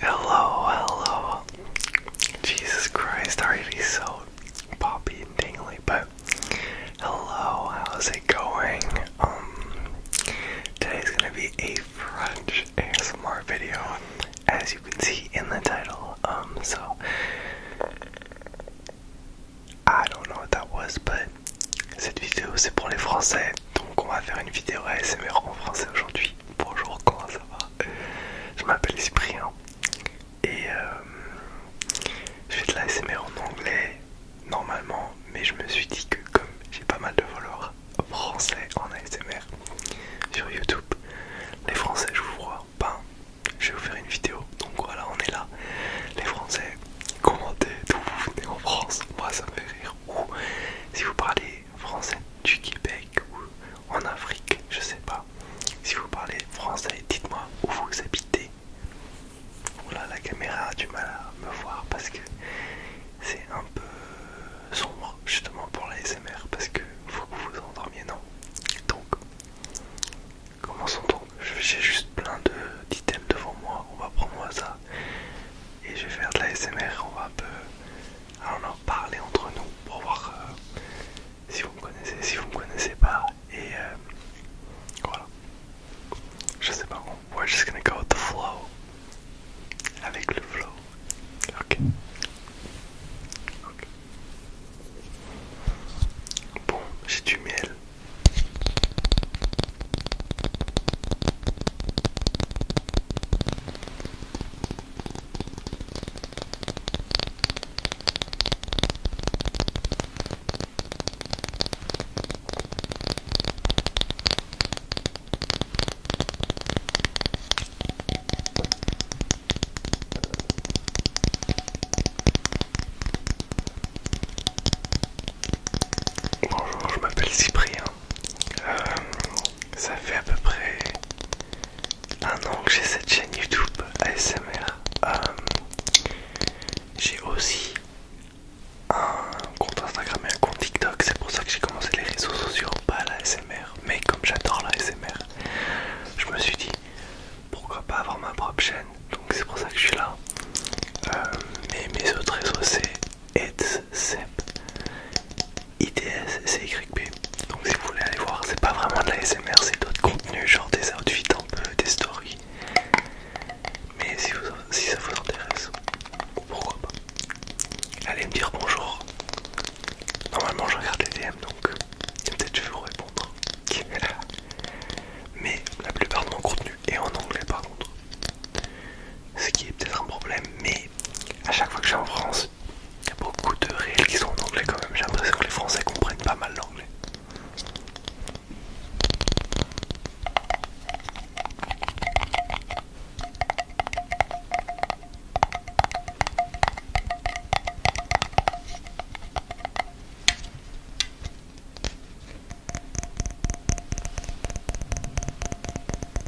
Hello, hello. Jesus Christ, already so poppy and tingly, but hello, how's it going? Um, today's gonna be a French ASMR video, as you can see in the title. Um, so I don't know what that was, but cette vidéo c'est pour les Français. donc on va faire une vidéo ASMR en français aujourd'hui. Bonjour, comment ça va Je m'appelle Cyprien et euh, je fais de l'ASMR en anglais normalement, mais je me suis dit que comme j'ai pas mal de followers français en ASMR sur YouTube, les Français, je vous vois, pas je vais vous faire une vidéo. Donc voilà, on est là. Les Français, commentez d'où vous venez en France, moi ça me fait rire. Ou si vous parlez français du Québec ou en Afrique, je sais pas. Si vous parlez français, dites-moi où vous habitez. Oh la caméra a du mal à me voir parce que c'est un peu sombre justement pour les SMR parce que faut que vous vous endormiez, non Donc, commençons donc. J'ai juste plein d'items devant moi. On va prendre au et je vais faire de la SMR, on va un peu en parler entre nous pour voir euh, si vous me connaissez, si vous me connaissez pas. Et euh, voilà. Je sais pas, we're just gonna go with the flow. Avec le flow. Ok. Ok. Bon, j'ai du miel. Bonjour, je m'appelle Cyprien. Euh, ça fait à peu près un an que j'ai cette chaîne YouTube ASMR. Euh, j'ai aussi un compte Instagram et un compte TikTok, c'est pour ça que j'ai commencé les réseaux sociaux, pas la ASMR. Mais comme j'adore la je me suis dit pourquoi pas avoir ma propre chaîne, donc c'est pour ça que je suis là. Euh, mais mes autres réseaux c'est Ed Cep, IDS c'est donc si vous voulez aller voir c'est pas vraiment de la SMR c'est d'autres contenus genre des outfits un peu des stories mais si, si ça vous intéresse pourquoi pas allez me dire bonjour normalement je regarde les DM donc peut-être je vais vous répondre mais la plupart de mon contenu est en anglais par contre ce qui est peut-être un problème, mais à chaque fois que je suis en France, il y a beaucoup de réels qui sont en anglais quand même. J'ai l'impression que les Français comprennent pas mal l'anglais.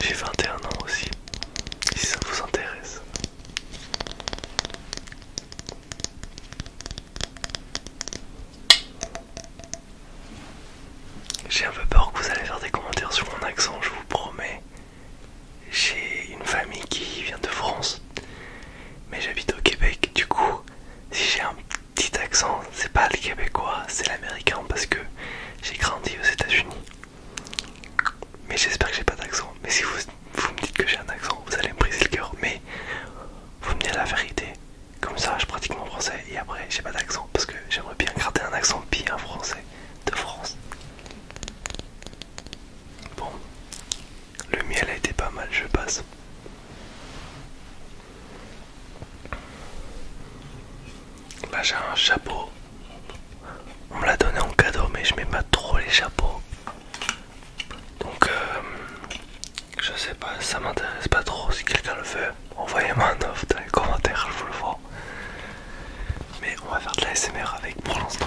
J'ai 21 ans aussi, si ça vous intéresse. J'ai un peu peur que vous allez faire des commentaires sur mon accent, je vous promets. J'ai une famille qui vient de France, mais j'habite au Québec, du coup, si j'ai un petit accent, c'est pas le québécois, c'est l'américain parce que j'ai grandi aux États-Unis. Mais j'espère que j'ai pas d'accent. Mais si vous, me dites que j'ai un accent, vous allez me briser le cœur. Mais vous me dites la vérité. Comme ça, je pratique mon français et après, j'ai pas d'accent parce que j'aimerais bien garder un accent bien français de France. Bon, le miel a été pas mal, je passe. Là bah, j'ai un chapeau. On me l'a donné en cadeau mais je mets pas trop les chapeaux. Donc euh, je sais pas, ça m'intéresse pas trop. Si quelqu'un le veut, envoyez-moi un offre dans les commentaires, je vous le vois. Mais on va faire de la SMR avec pour l'instant.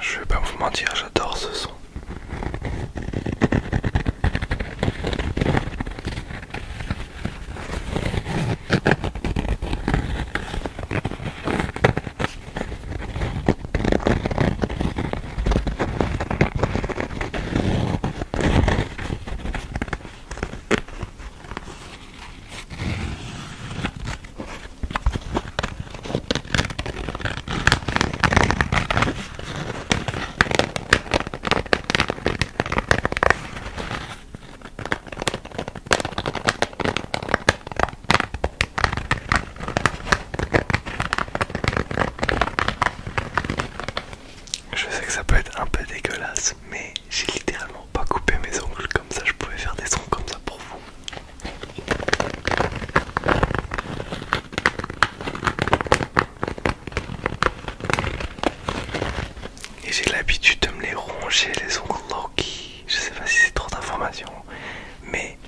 Je vais pas vous mentir, j'adore ce son. Je sais que ça peut être un peu dégueulasse, mais j'ai littéralement pas coupé mes ongles comme ça, je pouvais faire des sons comme ça pour vous. Et j'ai l'habitude de me les ronger les ongles Loki. Je sais pas si c'est trop d'informations, mais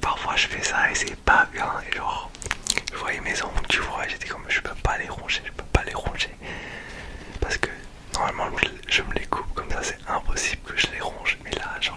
parfois je fais ça et c'est pas bien. Et genre, je voyais mes ongles, tu vois, j'étais comme je peux pas les ronger, je peux pas les ronger. Parce que normalement je me les coupe comme ça, c'est impossible que je les ronge. Mais là, genre,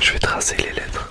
Je vais tracer les lettres.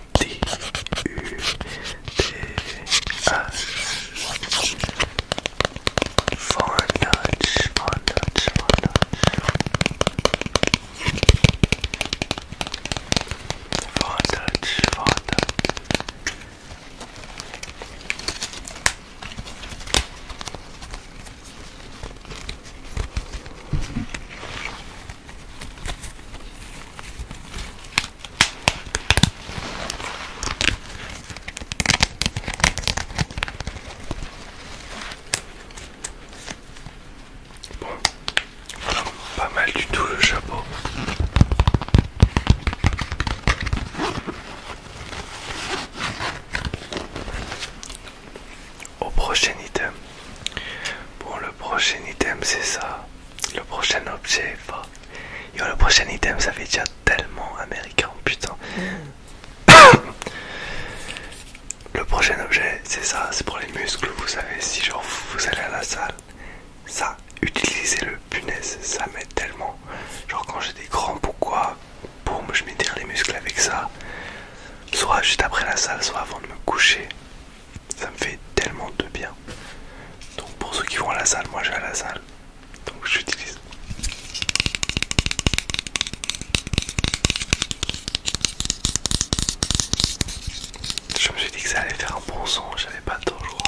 D U D S Foreign Dutch, foreign Dutch, foreign Dutch, foreign Dutch, foreign Dutch. Bon, pas mal du tout le chapeau. Au prochain item. Bon, le prochain item c'est ça le prochain objet va. le prochain item, ça fait déjà tellement américain, putain. le prochain objet, c'est ça, c'est pour les muscles, vous savez. Si genre vous, allez à la salle, ça, utilisez-le, punaise, ça m'aide tellement. Genre quand j'ai des grands, pourquoi, pour me je m'étire les muscles avec ça. Soit juste après la salle, soit avant de me coucher ça me fait tellement de bien. Donc pour ceux qui vont à la salle, moi je vais à la salle, donc j'utilise. Je me suis dit que ça allait faire un bon son, j'avais pas de je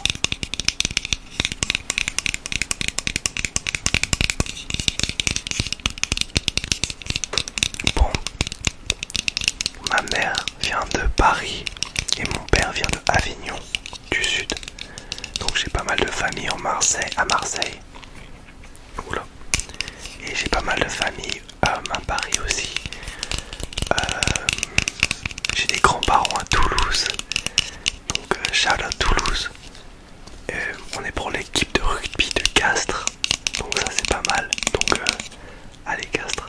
Bon, Ma mère vient de Paris et mon père vient de Avignon du sud. Donc j'ai pas mal de famille à Marseille. Et j'ai pas mal de famille euh, à Paris aussi. Euh, j'ai des grands-parents à Toulouse. Donc Charles euh, à Toulouse. on est pour l'équipe de rugby de Castres. Donc ça c'est pas mal. Donc allez Castres.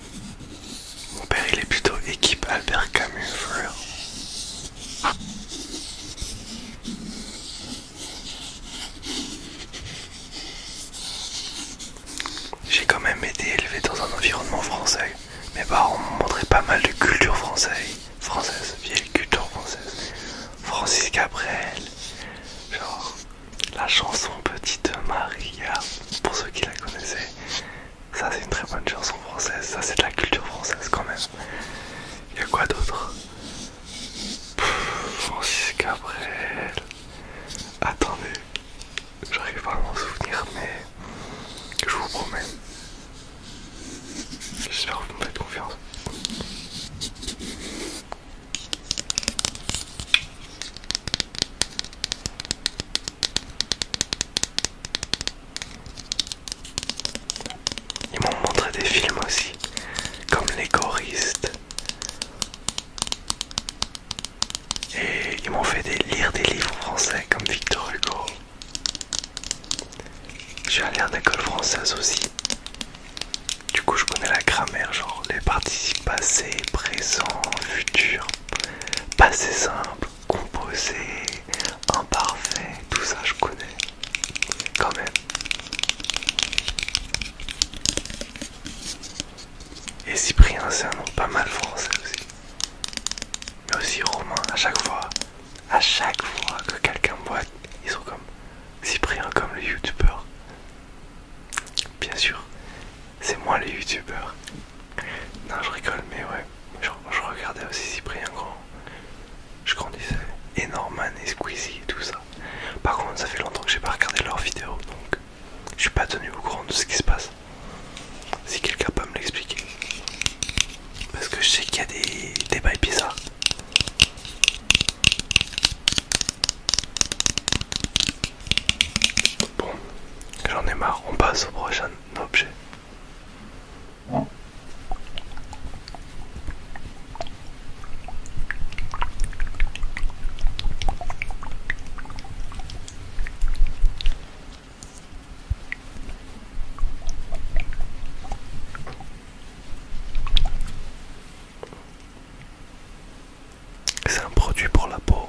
Mon père il est plutôt équipe Albert Camus J'ai quand même été élevé dans un environnement français. Mes parents m'ont montré pas mal de culture française, française, vieille culture française. Francis Gabriel. genre la chanson Petite Maria, pour ceux qui la connaissaient. Ça c'est une très bonne chanson française, ça c'est de la culture française quand même. Il a quoi d'autre Francis Cabrel. Attendez, j'arrive pas à m'en souvenir, mais je vous promets. J'espère que vous me faites confiance. Ils m'ont montré des films aussi, comme Les Choristes. Et ils m'ont fait lire des livres français comme Victor Hugo. J'ai un lien d'école française aussi. Du coup, je connais la grammaire, genre les participes passés, présents, futurs. Passé simple, composé, imparfait, tout ça je connais quand même. Et Cyprien, c'est un nom pas mal français aussi. Mais aussi romain, à chaque fois. À chaque fois que quelqu'un me voit, ils sont comme Cyprien, comme le youtubeur. Bien sûr, c'est moi les youtubeurs. Non, je rigole, mais ouais, je, regardais aussi Cyprien Grand. Je grandissais. Et Norman et Squeezie et tout ça. Par contre, ça fait longtemps que j'ai pas regardé leurs vidéos, donc je suis pas tenu au courant de ce qui se passe. Si quelqu'un peut me l'expliquer. Parce que je sais qu'il y a des, des bails bizarres. Bon, j'en ai marre, on passe au prochain objet. C'est un produit pour la peau.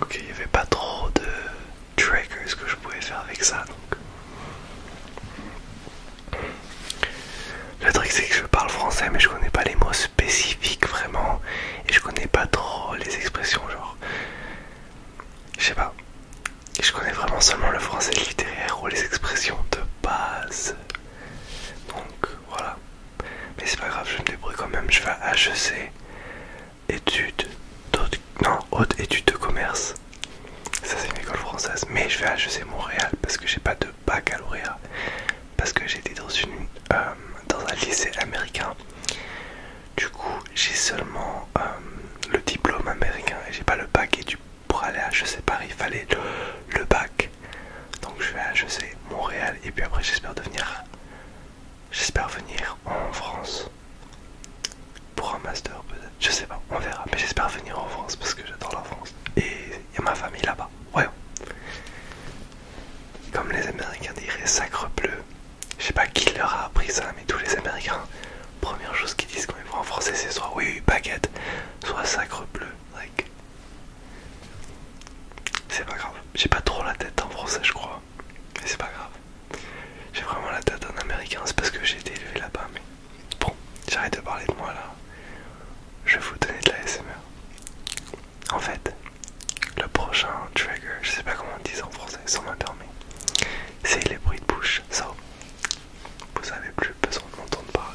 Ok, il n'y avait pas trop de trackers que je pouvais faire avec ça donc. Le truc c'est que je parle français mais je connais pas les mots spécifiques vraiment et je connais pas trop les expressions genre. Je sais pas. Je connais vraiment seulement le français littéraire ou les expressions de base. Donc voilà. Mais c'est pas grave, je me débrouille quand même. Je vais à HEC, études, non, haute études de commerce. Ça c'est une école française. Mais je vais à HEC Montréal parce que j'ai pas de baccalauréat. Parce que j'étais dans, une, euh, dans un lycée américain. Du coup, j'ai seulement euh, le diplôme américain et j'ai pas le bac et du pour aller à je sais Paris, il fallait le, bac. Donc je vais à je sais, Montréal et puis après j'espère devenir... J'espère venir en France pour un master peut-être. Je sais pas, on verra. Mais j'espère venir en France parce que j'adore la France. Et il y a ma famille là-bas. ouais Comme les Américains diraient, sacre bleu. Je sais pas qui leur a appris ça, mais tous les Américains, première chose qu'ils disent quand ils vont en français, c'est soit oui, baguette soit sacre bleu. C'est pas grave. J'ai pas trop la tête en français, je crois. Mais c'est pas grave. J'ai vraiment la tête en américain. C'est parce que j'ai été élevé là-bas. Mais bon, j'arrête de parler de moi là. Je vais vous donner de la SMR. En fait, le prochain trigger, je sais pas comment on dit en français, sans m'a c'est les bruits de bouche. ça vous n'avez plus besoin de m'entendre parler.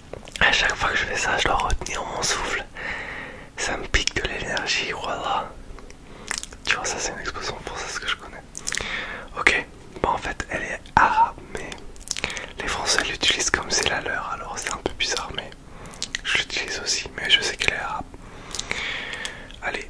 A chaque fois que je fais ça, je dois retenir mon souffle. Ça me pique de l'énergie, voilà. Tu vois, ça c'est une expression pour ça, ce que je connais. Ok, bon en fait, elle est arabe, mais les Français l'utilisent comme c'est la leur, alors c'est un peu bizarre, mais je l'utilise aussi, mais je sais qu'elle est arabe. Allez.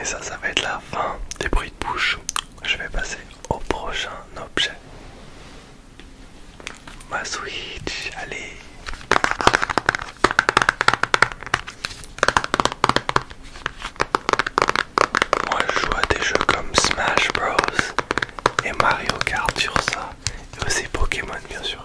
et ça, ça va être la fin des bruits de bouche je vais passer au prochain objet. Ma Switch, allez Moi je joue à des jeux comme Smash Bros et Mario Kart sur ça et aussi Pokémon bien sûr.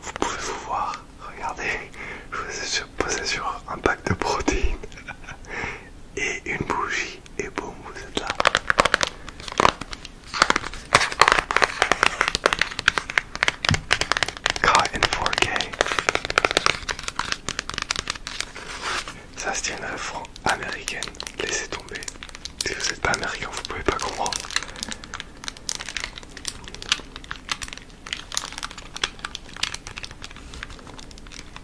Vous, pouvez vous voir, regardez, je vous ai posé sur un pack de protéines et une bougie et boum, vous êtes là. Caught in 4K. Ça c'est une franc américaine, laissez tomber. Si vous n'êtes pas américain, vous pouvez pas comprendre.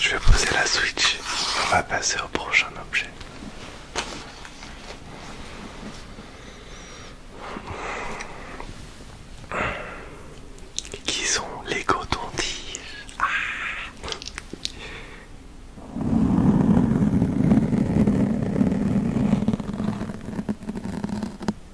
Je vais poser la Switch. On va passer au prochain objet. Qui sont les cotons-tiges ah!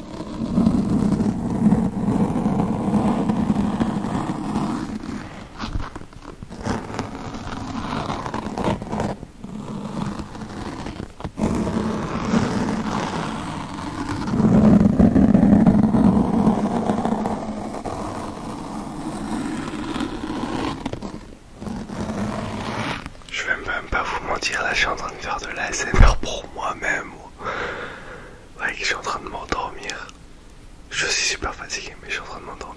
Je vais même pas vous mentir, là je suis en train de faire de la pour moi-même. Ouais, je suis en train de m'endormir. Je suis super fatigué, mais je suis en train de m'endormir.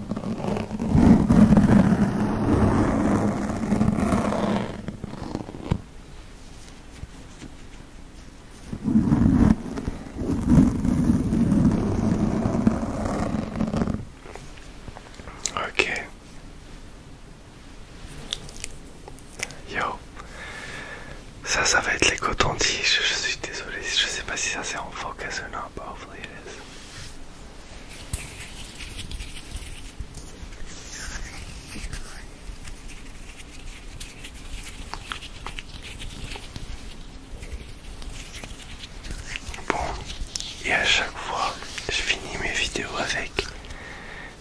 Ok. Yo. Ça, ça va être les cotons-tiges. Je suis désolé. Je sais pas si ça c'est en focus ou non, Mais Bon, et à chaque fois, je finis mes vidéos avec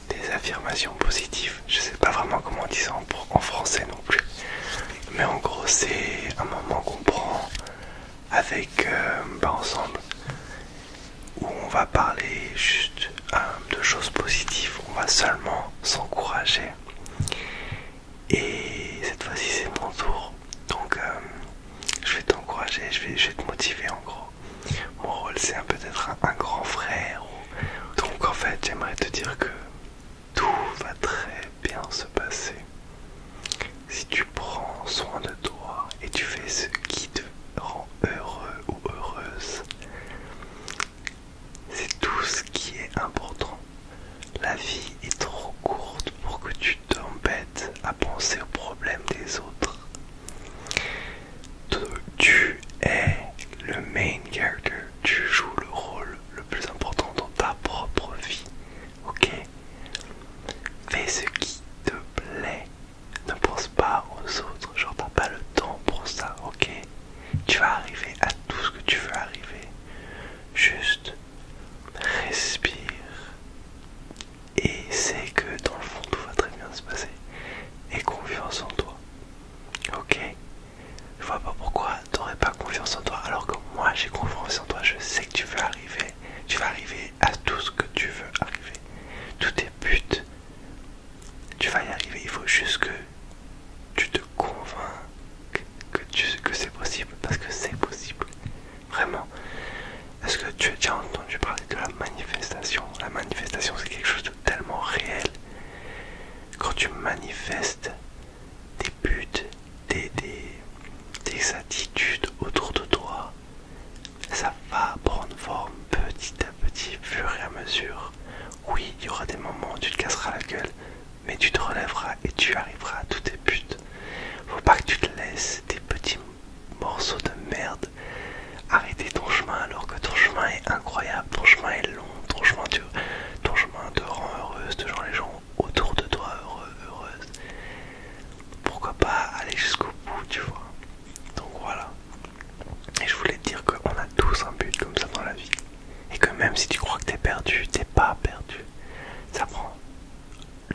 des affirmations positives. Je sais pas vraiment comment on dit ça en français non plus. Mais en gros, c'est un moment qu'on prend avec euh, bah, ensemble où on va parler juste euh, de choses positives, on va seulement s'encourager. Et cette fois-ci c'est mon tour, donc euh, je vais t'encourager, je vais, te motiver en gros. Mon rôle c'est peut-être un, grand frère. Donc en fait j'aimerais te dire que tout va très bien se passer. Si tu prends soin de toi et tu fais ce qui te rend heureux ou heureuse, c'est tout ce qui est important. La vie est trop courte pour que tu t'embêtes à penser aux problèmes des autres. Tu es le main character, tu joues le rôle le plus important dans ta propre vie ok Fais ce qui te plaît, ne pense pas aux autres, genre t'as pas le temps pour ça, ok Tu vas arriver à tout ce que tu veux arriver, juste respire et sais que dans le fond tout va très bien se passer et confiance en toi, ok je vois pas pourquoi t'aurais pas confiance en toi alors que moi j'ai confiance en toi, je sais que tu veux arriver, tu vas arriver à tout ce que tu veux arriver. Tous tes buts, tu vas y arriver. Il faut juste que tu te convainques que, c'est possible. Parce que c'est possible. Vraiment. Est-ce que tu as déjà entendu parler de la manifestation La manifestation, c'est quelque chose de tellement réel. Quand tu manifestes des buts, tes des attitudes autour de toi, ça va prendre forme petit à petit, fur et à mesure. Oui, il y aura des moments où tu te casseras la gueule, mais tu te relèveras et tu arriveras à tous tes buts. Faut pas que tu te laisses des petits morceaux de merde arrêter ton chemin alors que ton chemin est incroyable, ton chemin est long, ton chemin, te, ton chemin te rend heureuse, te rend les gens autour de toi heureux, heureuse pourquoi pas aller jusqu'au bout, tu vois. Donc voilà. Et je voulais te dire qu'on a tous un but comme ça dans la vie. Et que même si tu crois que t'es perdu, t'es pas perdu. Ça prend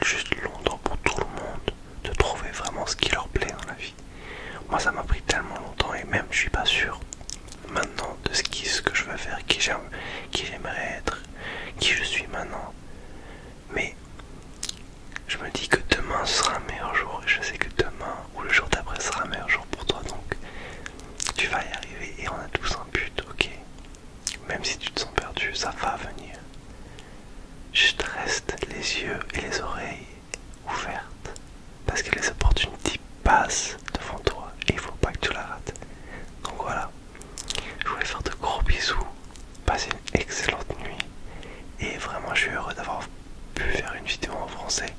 juste longtemps pour tout le monde de trouver vraiment ce qui leur plaît dans la vie. Moi ça m'a pris tellement longtemps et même je suis pas sûr maintenant de ce, qui, ce que je veux faire, qui j'aimerais être, qui je suis maintenant mais je me dis que demain sera un meilleur jour et je sais que demain ou le jour d'après sera un meilleur jour pour toi donc tu vas y arriver et on a tous un but ok même si tu te sens perdu ça va venir Je te reste les yeux et les oreilles ouvertes parce que les opportunités passent devant toi et il faut pas que tu la rates donc voilà je voulais faire de gros bisous passez une excellente nuit et vraiment je suis heureux d'avoir pu faire une vidéo en français.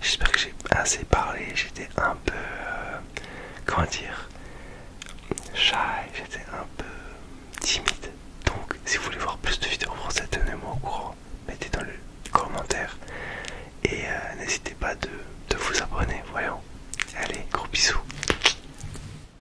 J'espère que j'ai assez parlé, j'étais un peu... Euh, comment dire Shy, j'étais un peu timide. Donc si vous voulez voir plus de vidéos en français, tenez-moi au courant, mettez dans le commentaire et euh, n'hésitez pas de, de vous abonner, voyons. Allez, gros bisous.